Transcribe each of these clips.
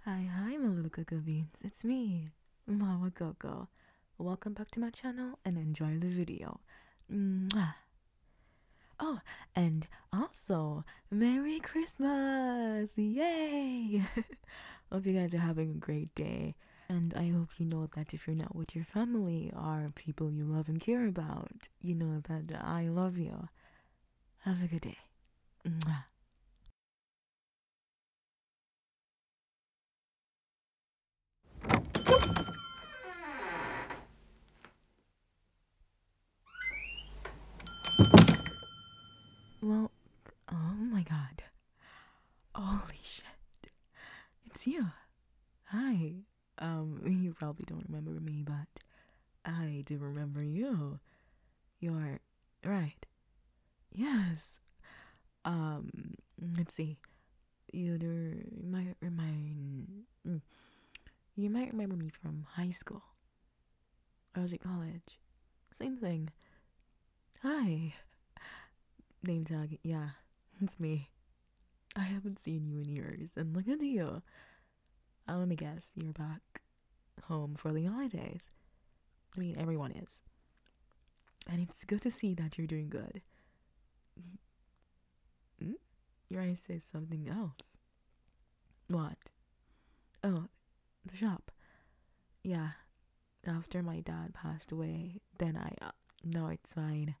Hi, hi, my little cocoa beans. It's me, Mama Coco. Welcome back to my channel and enjoy the video. Mwah. Oh, and also, Merry Christmas! Yay! hope you guys are having a great day. And I hope you know that if you're not with your family or people you love and care about, you know that I love you. Have a good day. Mwah. Well, oh my god. Holy shit. It's you. Hi. Um, you probably don't remember me, but I do remember you. You're right. Yes. Um, let's see. You, might remind. Hmm. You might remember me from high school. I was at college. Same thing. Hi. Name tag. Yeah, it's me. I haven't seen you in years, and look at you. Oh, let me guess, you're back home for the holidays. I mean, everyone is. And it's good to see that you're doing good. Hmm? Your eyes say something else. What? Oh, the shop. Yeah. After my dad passed away, then I. Uh, no, it's fine.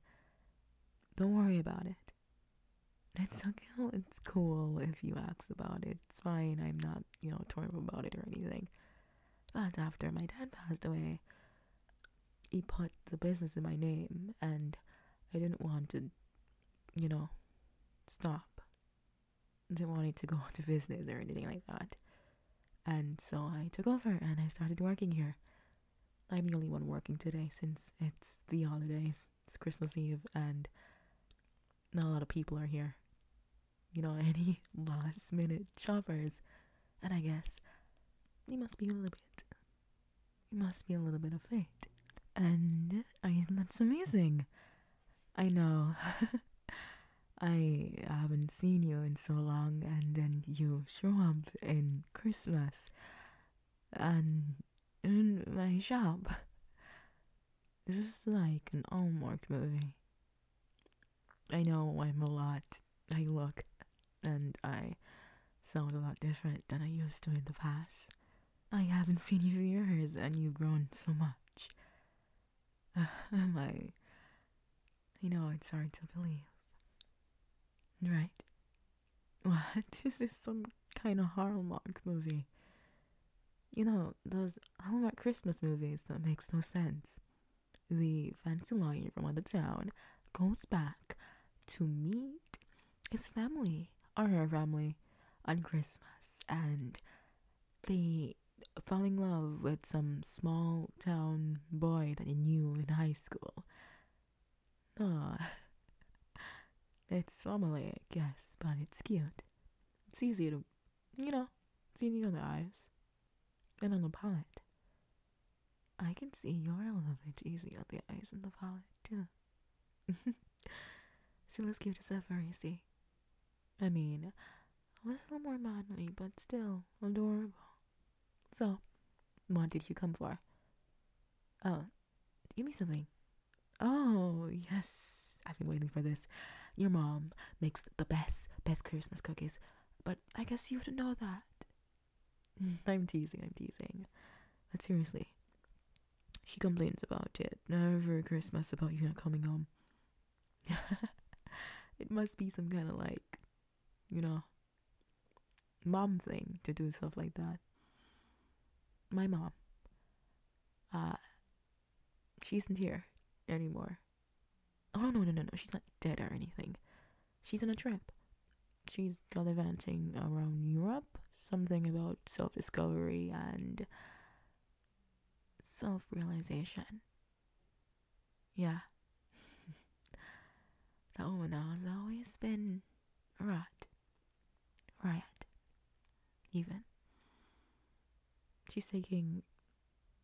Don't worry about it. It's okay. It's cool if you ask about it. It's fine. I'm not, you know, torn about it or anything. But after my dad passed away, he put the business in my name, and I didn't want to, you know, stop. I didn't want it to go into business or anything like that. And so I took over and I started working here. I'm the only one working today since it's the holidays it's Christmas Eve and not a lot of people are here. You know, any last minute shoppers. And I guess you must be a little bit, you must be a little bit of fate. And I mean, that's amazing. I know. I haven't seen you in so long, and then you show up in Christmas, and in my shop. This is like an Hallmark movie. I know I'm a lot. I look and I sound a lot different than I used to in the past. I haven't seen you for years and you've grown so much. Uh, am I? I know it's hard to believe. Right? What? This is some kind of Hallmark movie. You know, those Hallmark Christmas movies that makes no sense. The fancy lawyer from other town goes back to meet his family or her family on Christmas and they fall in love with some small town boy that he knew in high school. Ah, it's I guess, but it's cute. It's easy to, you know, it's easy on the eyes and on the palate. I can see you're a little bit easy on the eyes and the palate, too. she looks cute as ever, you see. I mean, a little more manly, but still adorable. So, what did you come for? Oh, Give me something. Oh, yes. I've been waiting for this. Your mom makes the best, best Christmas cookies. But I guess you didn't know that. I'm teasing, I'm teasing. But seriously, she complains about it every Christmas about you not coming home. it must be some kind of like, you know, mom thing to do stuff like that. My mom, uh, she isn't here anymore. Oh no no no no! She's not dead or anything. She's on a trip. She's gallivanting around Europe. Something about self-discovery and self-realization. Yeah. that woman has always been a rat riot, even. She's taking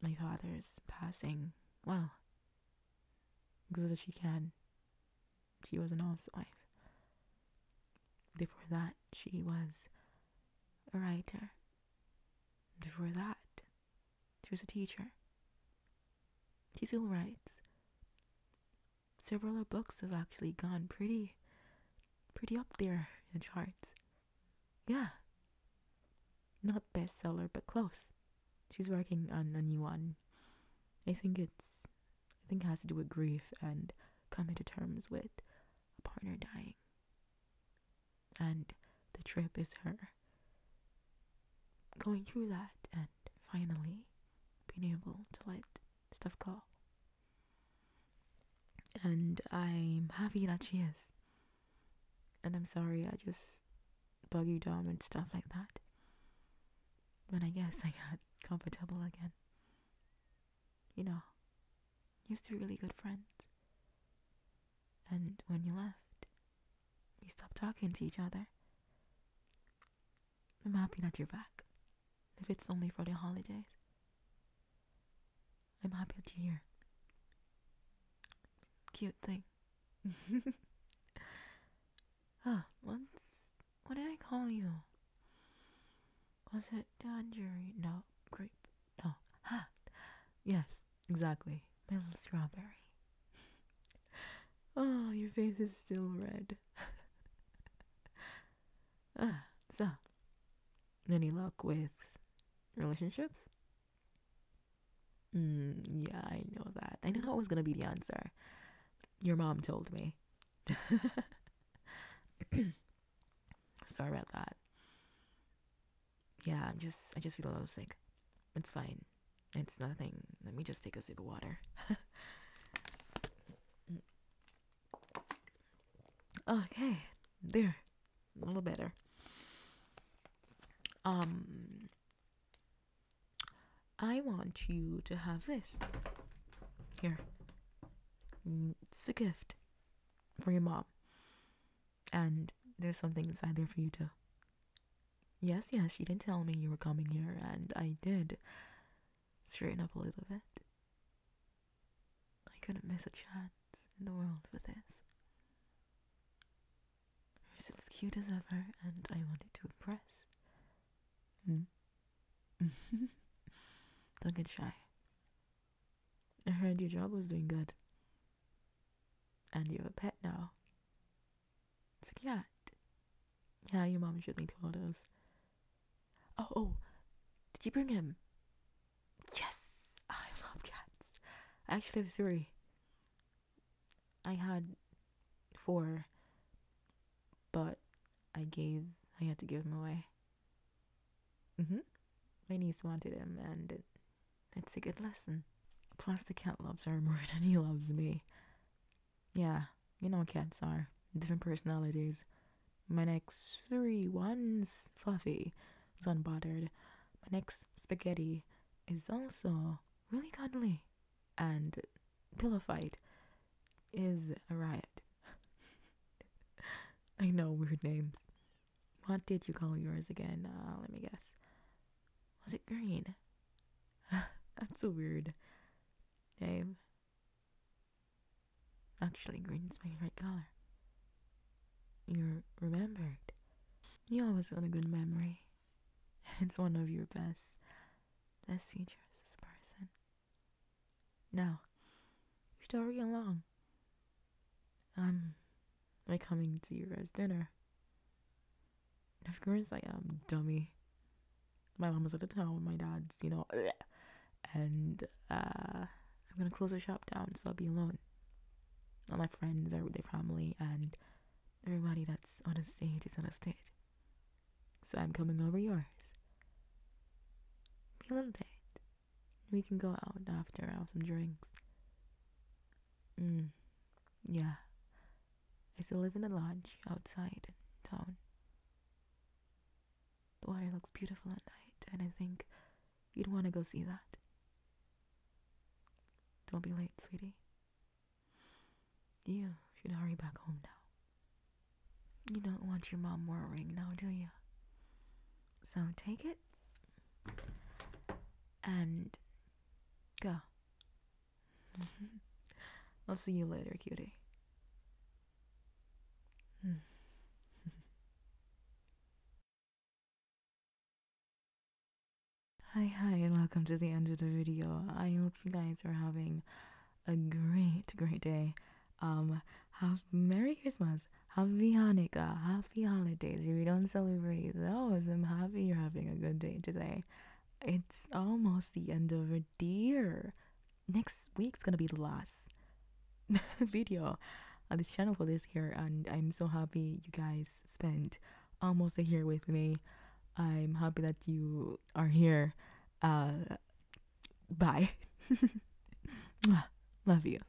my father's passing well, because she can. She was an honest wife. Before that, she was a writer. Before that, she was a teacher. She still writes several of books have actually gone pretty pretty up there in charts. Yeah. Not bestseller but close. She's working on a new one. I think it's I think it has to do with grief and coming to terms with a partner dying. And the trip is her going through that and finally being able to let stuff go. And I'm happy that she is. And I'm sorry I just bug you down and stuff like that. But I guess I got comfortable again. You know, used to be really good friends. And when you left, we stopped talking to each other. I'm happy that you're back, if it's only for the holidays. I'm happy that you're here. Cute thing. ah, once. What did I call you? Was it tangerine? No, grape. No. Ha! Yes, exactly my little strawberry. oh, your face is still red. ah, so, any luck with relationships? Mm, yeah, I know that. I knew that was going to be the answer. Your mom told me. Sorry about that. Yeah, I'm just, I just feel a little sick. It's fine. It's nothing. Let me just take a sip of water. okay, there. A little better. Um I want you to have this. Here. It's a gift for your mom. And there's something inside there for you too. Yes, yes, You did tell me you were coming here, and I did straighten up a little bit. I couldn't miss a chance in the world for this. You're still as cute as ever, and I wanted to impress. Mm. Don't get shy. I heard your job was doing good. And you have a pet now. It's a cat. yeah, your mom showed me photos. Oh, oh, did you bring him? Yes, I love cats. I actually have three. I had four, but I gave, I had to give him away. Mm-hmm. My niece wanted him, and it's a good lesson. Plus, the cat loves her more than he loves me. Yeah, you know cats are. Different personalities. My next three ones, fluffy, is unbothered. My next spaghetti is also really cuddly. And pillow fight is a riot. I know weird names. What did you call yours again? Uh, let me guess. Was it green? That's a weird name. Actually, green's my favorite color. You're remembered. You always have a good memory. It's one of your best, best features as a person. Now, you're still real long i am I coming to your guys' dinner? Of course I am, dummy. My mom was out of town, my dad's, you know, and uh, I'm gonna close the shop down, so I'll be alone. All my friends are with their family, and everybody that's on a stage is on a stage. So I'm coming over yours. Be a little date. We can go out after, have some drinks. Mm, yeah. I still live in the lodge outside town. The water looks beautiful at night, and I think you'd want to go see that. Don't be late, sweetie. You should hurry back home now. You don't want your mom worrying now, do you? So take it and go. I'll see you later, cutie. hi, hi, and welcome to the end of the video. I hope you guys are having a great, great day. Um, have Merry Christmas Happy Hanukkah, happy holidays. If we don't celebrate those, I'm happy you're having a good day today. It's almost the end of a year. Next week's gonna be the last video on this channel for this year, and I'm so happy you guys spent almost a year with me. I'm happy that you are here. Uh, bye. Love you.